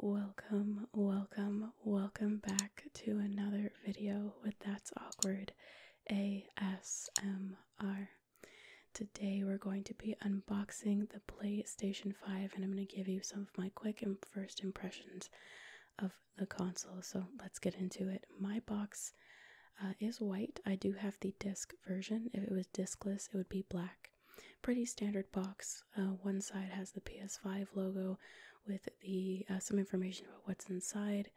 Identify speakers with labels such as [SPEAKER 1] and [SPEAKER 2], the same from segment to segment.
[SPEAKER 1] Welcome, welcome, welcome back to another video with That's Awkward ASMR. Today we're going to be unboxing the PlayStation 5 and I'm going to give you some of my quick and first impressions of the console. So let's get into it. My box uh, is white. I do have the disc version. If it was discless, it would be black. Pretty standard box. Uh, one side has the PS5 logo with the uh, some information about what's inside.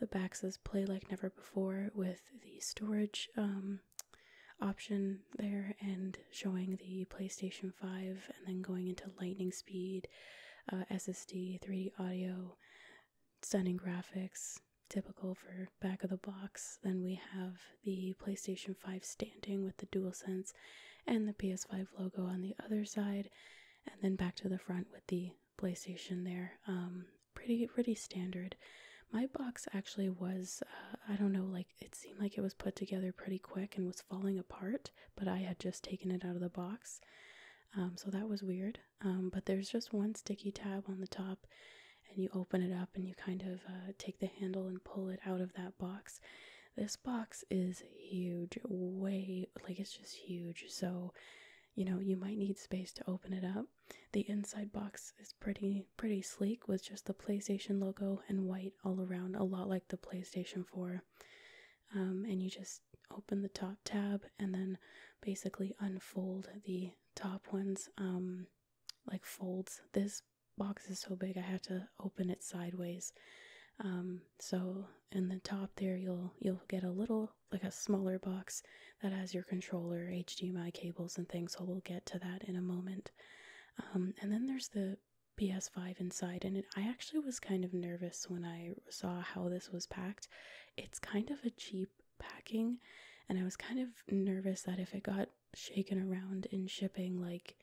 [SPEAKER 1] The back says "Play like never before" with the storage um, option there and showing the PlayStation 5, and then going into lightning speed, SSD, 3D audio, stunning graphics, typical for back of the box. Then we have the PlayStation 5 standing with the DualSense and the PS5 logo on the other side, and then back to the front with the PlayStation there. Um, pretty pretty standard. My box actually was uh, I don't know like it seemed like it was put together pretty quick and was falling apart, but I had just taken it out of the box. Um, so that was weird. Um, but there's just one sticky tab on the top and you open it up and you kind of uh, take the handle and pull it out of that box this box is huge way like it's just huge so you know you might need space to open it up the inside box is pretty pretty sleek with just the playstation logo and white all around a lot like the playstation 4 um, and you just open the top tab and then basically unfold the top ones um, like folds this box is so big i have to open it sideways um, so in the top there you'll you'll get a little like a smaller box that has your controller hdmi cables and things so we'll get to that in a moment um, and then there's the PS5 inside, and I actually was kind of nervous when I saw how this was packed it's kind of a cheap packing, and I was kind of nervous that if it got shaken around in shipping, like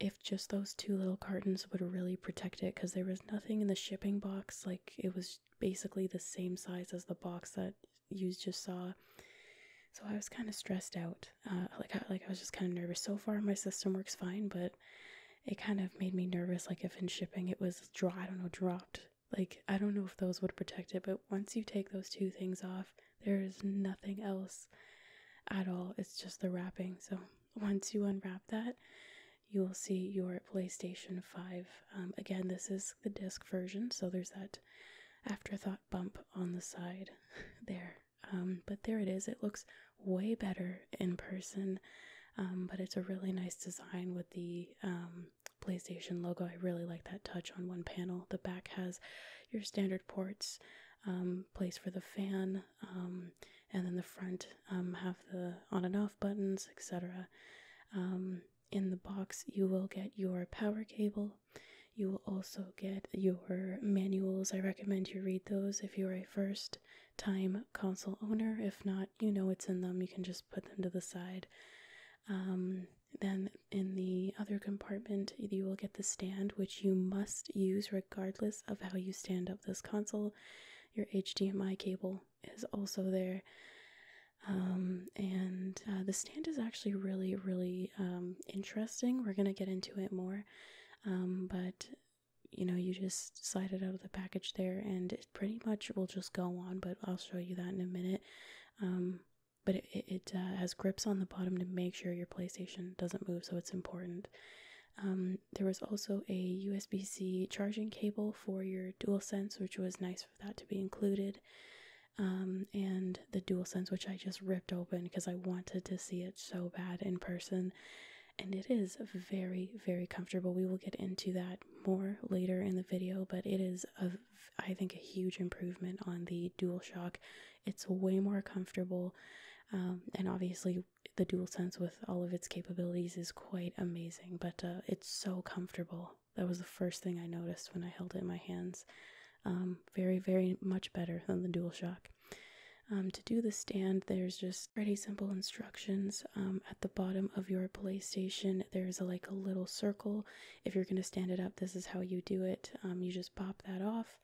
[SPEAKER 1] if just those two little cartons would really protect it because there was nothing in the shipping box, like it was basically the same size as the box that you just saw. So I was kind of stressed out. Uh, like, like I was just kind of nervous. So far, my system works fine, but it kind of made me nervous like if in shipping it was dry i don't know dropped like i don't know if those would protect it but once you take those two things off there is nothing else at all it's just the wrapping so once you unwrap that you will see your playstation 5 um, again this is the disc version so there's that afterthought bump on the side there um, but there it is it looks way better in person. Um, but it's a really nice design with the um, PlayStation logo. I really like that touch on one panel. The back has your standard ports, um, place for the fan, and then the front have the on and off buttons, etc. in the box, you will get your power cable. You will also get your manuals. I recommend you read those if you are a first time console owner. If not, you know it's in them, you can just put them to the side. Um, then in the other compartment, you will get the stand, which you must use regardless of how you stand up this console. Your HDMI cable is also there. Um, and uh, the stand is actually really, really um, interesting. We're going to get into it more. but you know, you just slide it out of the package there and it pretty much will just go on, but I'll show you that in a minute. Um, but it, uh, has grips on the bottom to make sure your PlayStation doesn't move, so it's important. Um, there was also a USB C charging cable for your DualSense, which was nice for that to be included. Um, and the DualSense, which I just ripped open because I wanted to see it so bad in person and it is very very comfortable we will get into that more later in the video but it is a i think a huge improvement on the dualshock it's way more comfortable um, and obviously the DualSense with all of its capabilities is quite amazing but uh, it's so comfortable that was the first thing i noticed when i held it in my hands um, very very much better than the DualShock um, to do the stand, there's just pretty simple instructions. Um, um, at the bottom of your PlayStation, there's like a little circle. If you're going to stand it up, this is how you do it. Um, you just pop that off.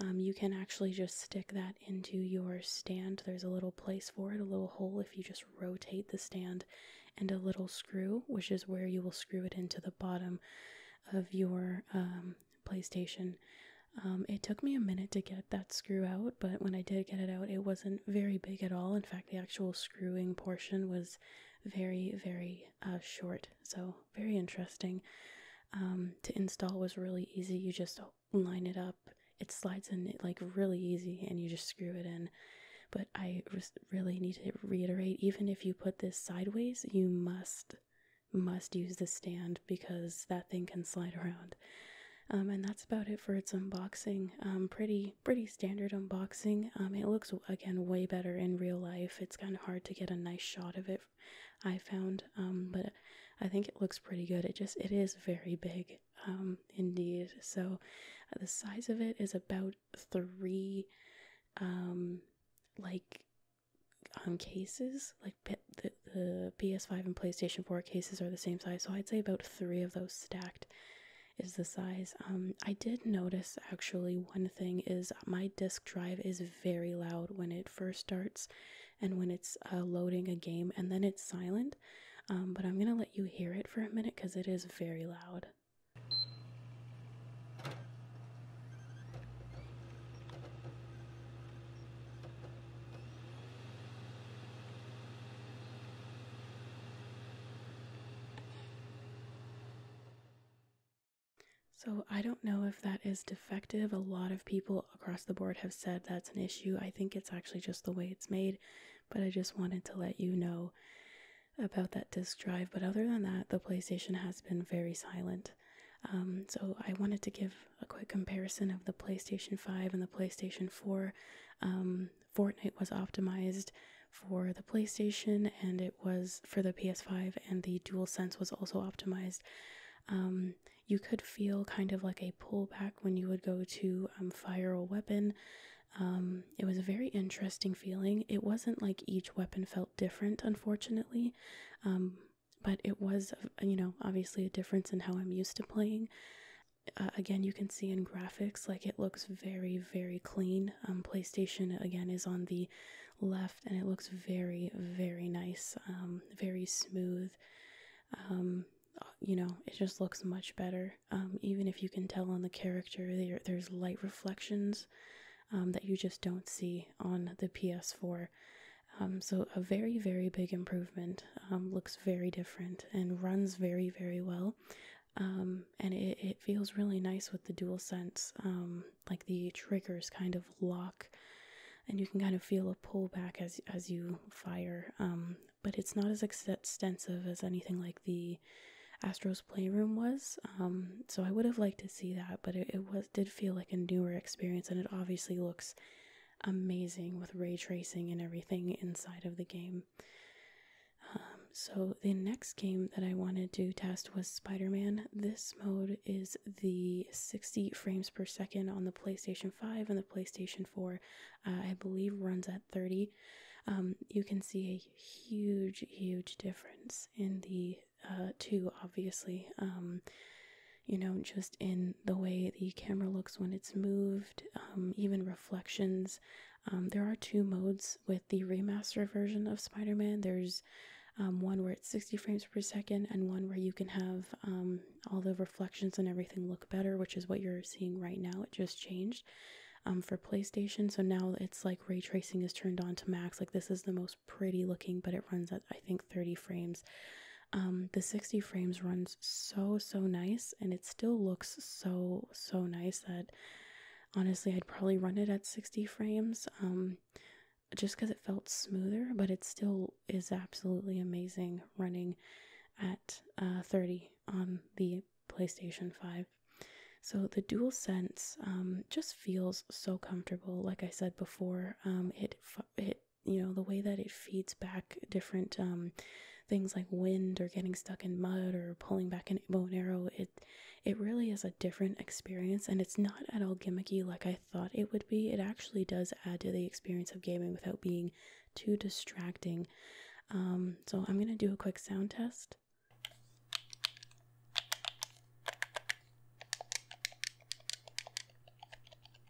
[SPEAKER 1] Um, you can actually just stick that into your stand. There's a little place for it, a little hole if you just rotate the stand, and a little screw, which is where you will screw it into the bottom of your PlayStation. Um, it took me a minute to get that screw out, but when I did get it out, it wasn't very big at all. In fact, the actual screwing portion was very, very uh, short, so very interesting. Um, to install was really easy. You just line it up, it slides in like really easy, and you just screw it in. But I really need to reiterate even if you put this sideways, you must must use the stand because that thing can slide around. Um, and that's about it for its unboxing. Um, pretty pretty standard unboxing. Um, it looks again way better in real life. It's kind of hard to get a nice shot of it. I found, but I think it looks pretty good. It just it is very big, indeed. So uh, the size of it is about three, like um cases the, PS5 and PlayStation 4 cases are the same size, so I'd say about three of those stacked is the size. Um, I did notice actually one thing is my disk drive is very loud when it first starts and when it's uh, loading a game, and then it's silent. Um, but I'm gonna let you hear it for a minute because it is very loud. So, I don't know if that is defective. A lot of people across the board have said that's an issue. I think it's actually just the way it's made, but I just wanted to let you know about that disk drive. But other than that, the PlayStation has been very silent. Um, so, I wanted to give a quick comparison of the PlayStation 5 and the PlayStation 4. Um, Fortnite was optimized for the PlayStation and it was for the PS5, and the Dual Sense was also optimized. Um, you could feel kind of like a pullback when you would go to um, fire a weapon. it was a very interesting feeling. It wasn't like each weapon felt different, unfortunately but it was, uh, you know, obviously a difference in how I'm used to playing. Uh, again, you can see in graphics, like it looks very, very clean. Um, PlayStation, again, is on the left and it looks very, very nice, um, very smooth. Um, you know, it just looks much better. even if you can tell on the character, there, there's light reflections that you just don't see on the PS4. Um, so a very very big improvement. Um, looks very different and runs very very well. Um, and it, it feels really nice with the dual sense. like the triggers kind of lock, and you can kind of feel a pullback as as you fire. but it's not as extensive as anything like the Astro's Playroom was. so I would have liked to see that, but it, it was did feel like a newer experience, and it obviously looks amazing with ray tracing and everything inside of the game. Um, so, the next game that I wanted to test was Spider Man. This mode is the 60 frames per second on the PlayStation 5 and the PlayStation 4, uh, I believe, runs at 30. Um, you can see a huge, huge difference in the uh, two, obviously. Um, you know, just in the way the camera looks when it's moved, um, even reflections. Um, there are two modes with the remaster version of Spider Man. There's um, one where it's 60 frames per second, and one where you can have all the reflections and everything look better, which is what you're seeing right now. It just changed for PlayStation. So now it's like ray tracing is turned on to max. Like this is the most pretty looking, but it runs at I think 30 frames um, the 60 frames runs so so nice and it still looks so so nice that honestly i'd probably run it at 60 frames um, just because it felt smoother but it still is absolutely amazing running at uh, 30 on the playstation 5 so the dual sense um, just feels so comfortable like i said before it, it you know the way that it feeds back different um, things like wind or getting stuck in mud or pulling back an bow and arrow it it really is a different experience and it's not at all gimmicky like i thought it would be it actually does add to the experience of gaming without being too distracting um, so i'm going to do a quick sound test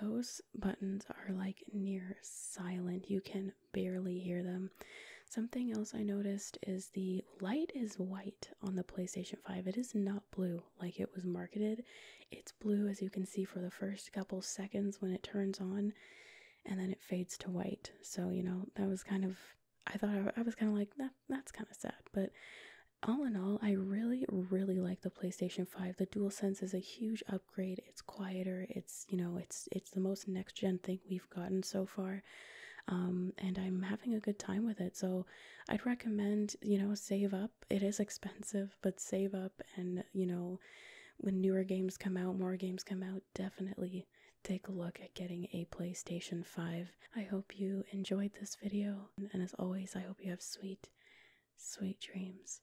[SPEAKER 1] those buttons are like near silent. You can barely hear them. Something else I noticed is the light is white on the PlayStation 5. It is not blue like it was marketed. It's blue as you can see for the first couple seconds when it turns on and then it fades to white. So, you know, that was kind of I thought I, was kind of like that that's kind of sad, but all in all, I really, really like the PlayStation 5. The DualSense is a huge upgrade Great! it's quieter it's you know it's it's the most next gen thing we've gotten so far um, and i'm having a good time with it so i'd recommend you know save up it is expensive but save up and you know when newer games come out more games come out definitely take a look at getting a playstation 5 i hope you enjoyed this video and as always i hope you have sweet sweet dreams